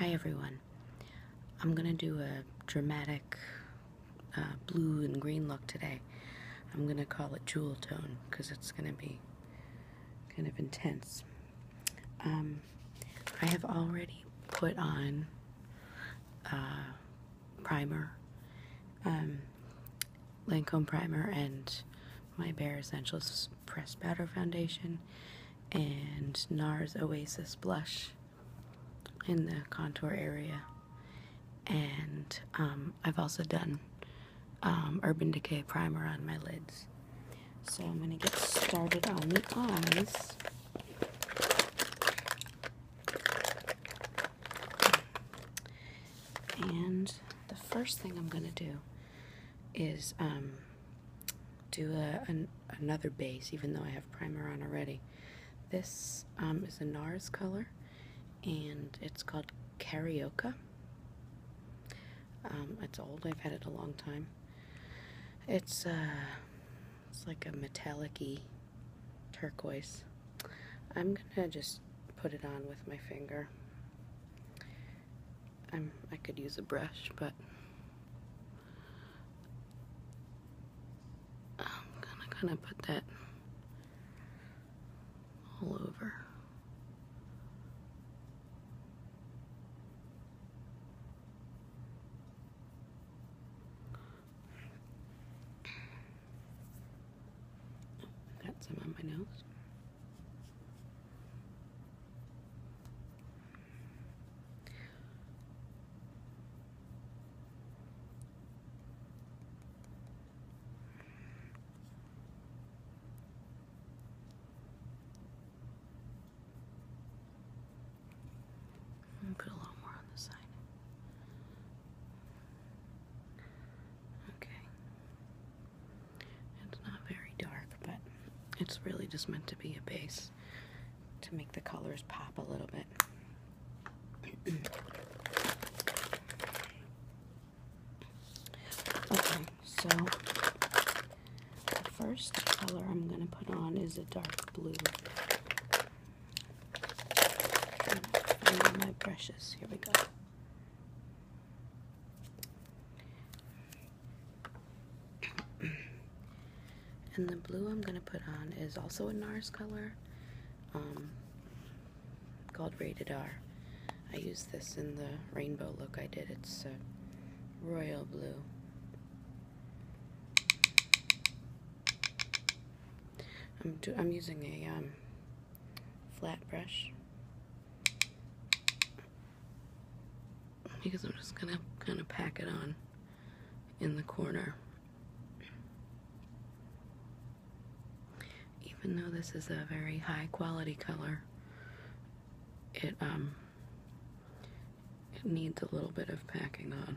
Hi everyone. I'm gonna do a dramatic uh, blue and green look today. I'm gonna call it jewel tone because it's gonna be kind of intense. Um, I have already put on uh, primer, um, Lancome primer, and my Bare Essentials Press powder foundation and NARS Oasis blush in the contour area. And um, I've also done um, Urban Decay primer on my lids. So I'm going to get started on the eyes. And the first thing I'm going to do is um, do a, an, another base, even though I have primer on already. This um, is a NARS color, and it's called Carioca. Um, it's old, I've had it a long time. It's, uh, it's like a metallic turquoise. I'm going to just put it on with my finger i could use a brush, but I'm gonna kind of put that all over. Got some on my nose. Put a little more on the side. Okay. It's not very dark, but it's really just meant to be a base to make the colors pop a little bit. okay, so the first color I'm going to put on is a dark blue. my brushes. Here we go and the blue I'm going to put on is also a NARS color um, called Rated R. I use this in the rainbow look I did. It's uh, royal blue. I'm, I'm using a um, flat brush because I'm just gonna kind of pack it on in the corner. Even though this is a very high quality color, it um, it needs a little bit of packing on.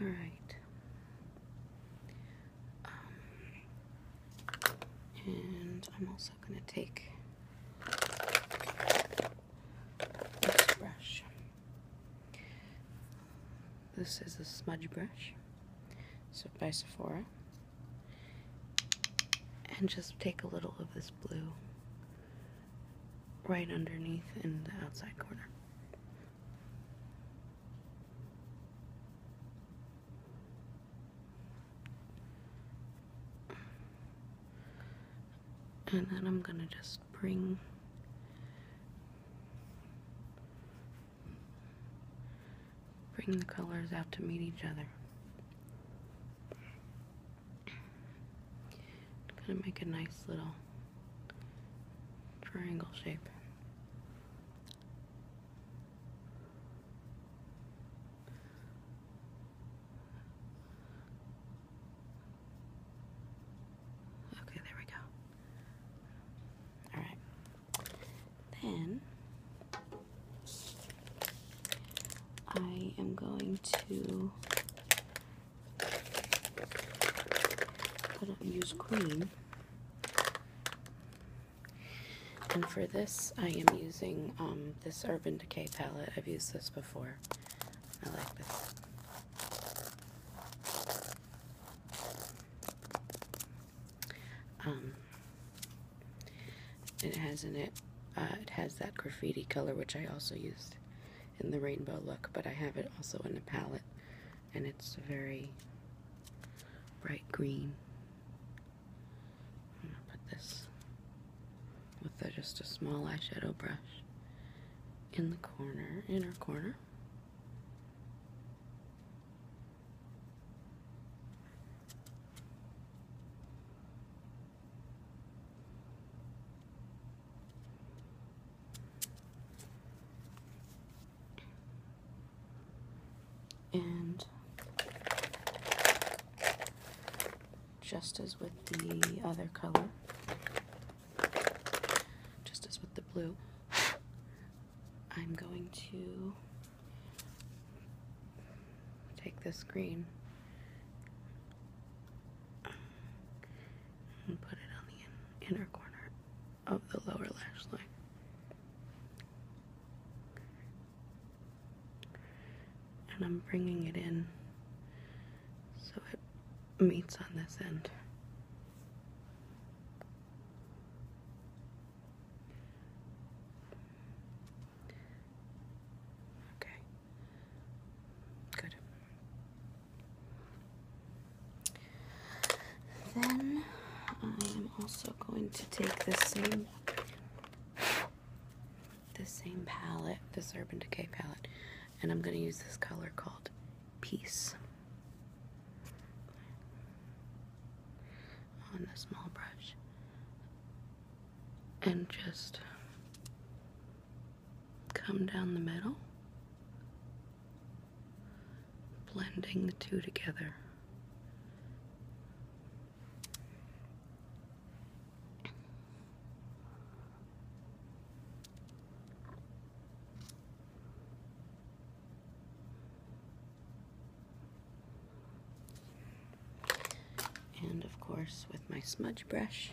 All right. Um, and I'm also going to take this brush. This is a smudge brush, so by Sephora. And just take a little of this blue right underneath in the outside corner. And then I'm going to just bring bring the colors out to meet each other. Gonna make a nice little triangle shape. Okay, there we go. Alright. Then I am going to I don't use cream. And for this, I am using um, this Urban Decay palette. I've used this before. I like this. Um, it has in it, uh, it has that graffiti color, which I also used in the rainbow look, but I have it also in a palette, and it's a very bright green. I'm gonna put this with just a small eyeshadow brush in the corner, inner corner. And just as with the other color, just as with the blue, I'm going to take this green and put it on the inner corner of the lower lash line. And I'm bringing it in so it meets on this end. Okay. Good. Then I am also going to take the same the same palette, this Urban Decay palette, and I'm going to use this color called Peace on the small brush and just come down the middle, blending the two together. And of course with my smudge brush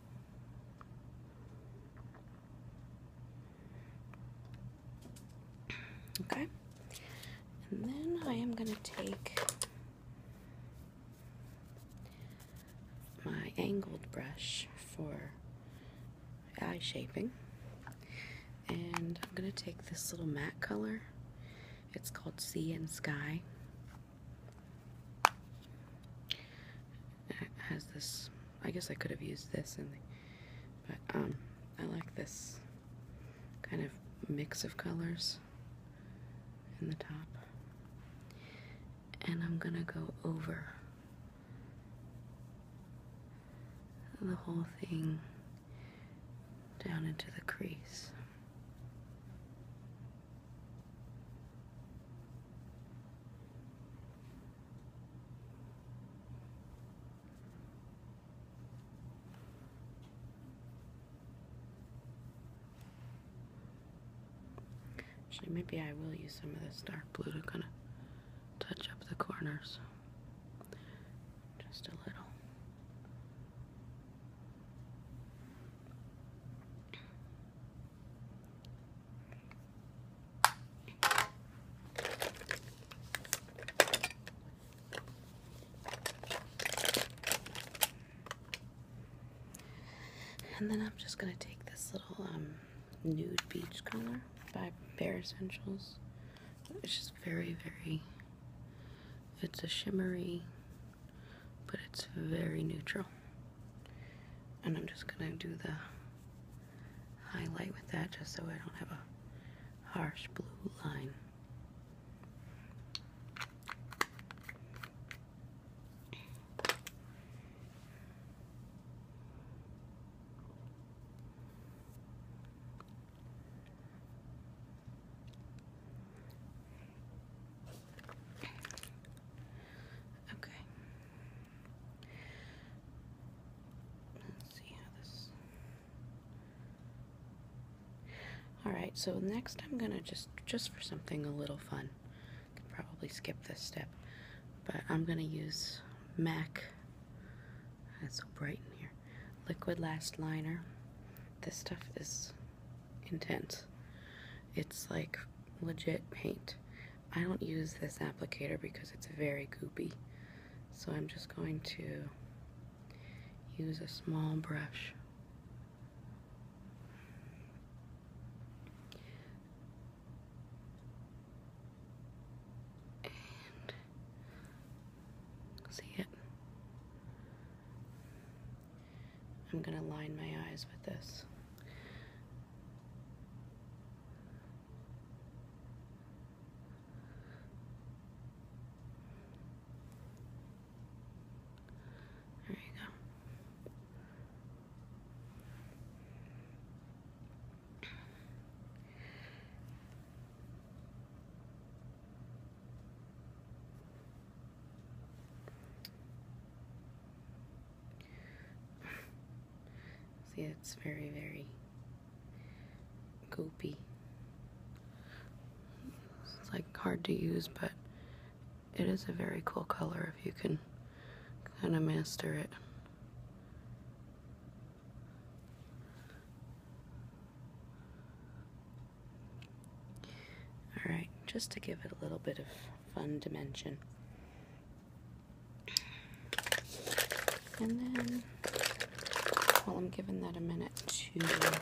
Okay. And then I am going to take my angled brush for eye shaping. And I'm going to take this little matte color. It's called Sea and Sky has this. I guess I could have used this, but um, I like this kind of mix of colors in the top. And I'm gonna go over the whole thing down into the crease. Actually, maybe I will use some of this dark blue to kind of touch up the corners. Just a little. And then I'm just going to take this little um, nude beach color by Bare Essentials. It's just very, very, it's a shimmery but it's very neutral. And I'm just going to do the highlight with that just so I don't have a harsh blue line. Okay. Let's see how this. Alright, so next I'm gonna just, just for something a little fun, can probably skip this step, but I'm gonna use MAC, that's so bright in here, Liquid Last Liner. This stuff is intense. It's like legit paint. I don't use this applicator because it's very goopy. So I'm just going to use a small brush. And see it? I'm going to line my eyes with this. There you go. See, it's very, very goopy. It's like hard to use, but it is a very cool color if you can kind of master it. Alright, just to give it a little bit of fun dimension. And then, while I'm giving that a minute to dry,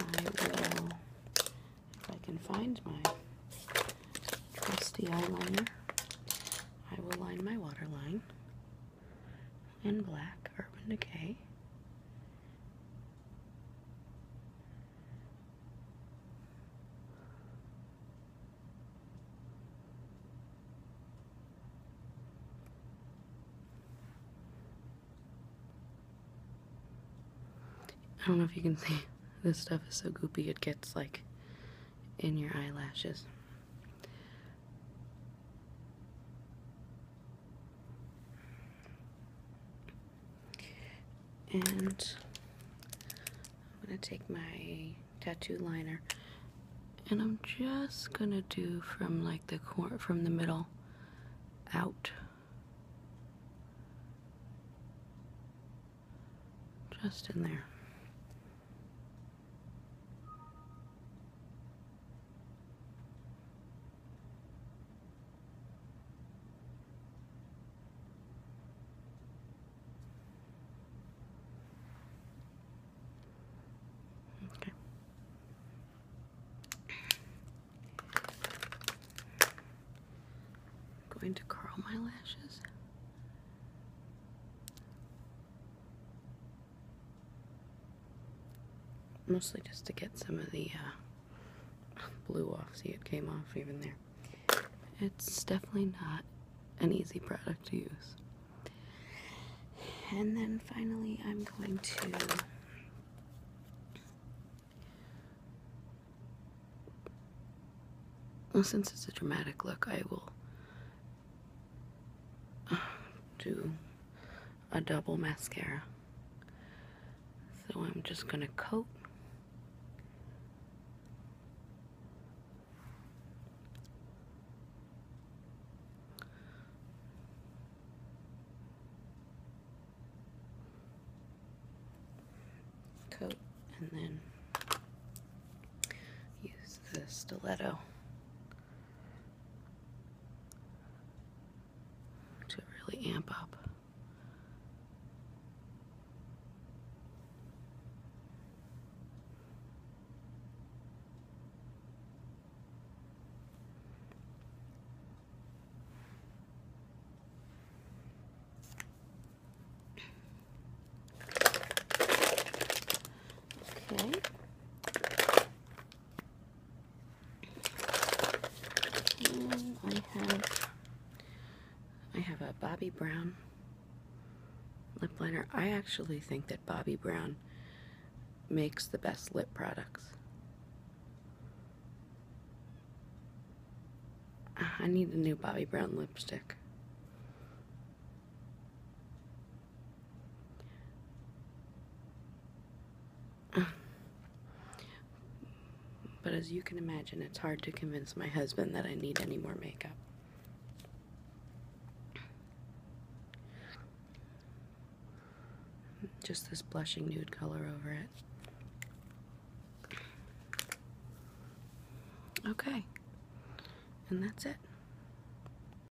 I will, if I can find my trusty eyeliner, I will line my waterline and black Urban Decay. I don't know if you can see, this stuff is so goopy it gets like in your eyelashes and I'm going to take my tattoo liner and I'm just going to do from like the corner from the middle out just in there Okay. going to curl my lashes. Mostly just to get some of the uh, blue off. See, it came off even there. It's definitely not an easy product to use. And then finally, I'm going to Well, since it's a dramatic look, I will do a double mascara. So I'm just going to coat. Coat and then use the stiletto to really amp up. Okay. Mm, I have I have a Bobbi Brown lip liner. I actually think that Bobbi Brown makes the best lip products. Ah, I need a new Bobbi Brown lipstick. But as you can imagine, it's hard to convince my husband that I need any more makeup. Just this blushing nude color over it. Okay. And that's it.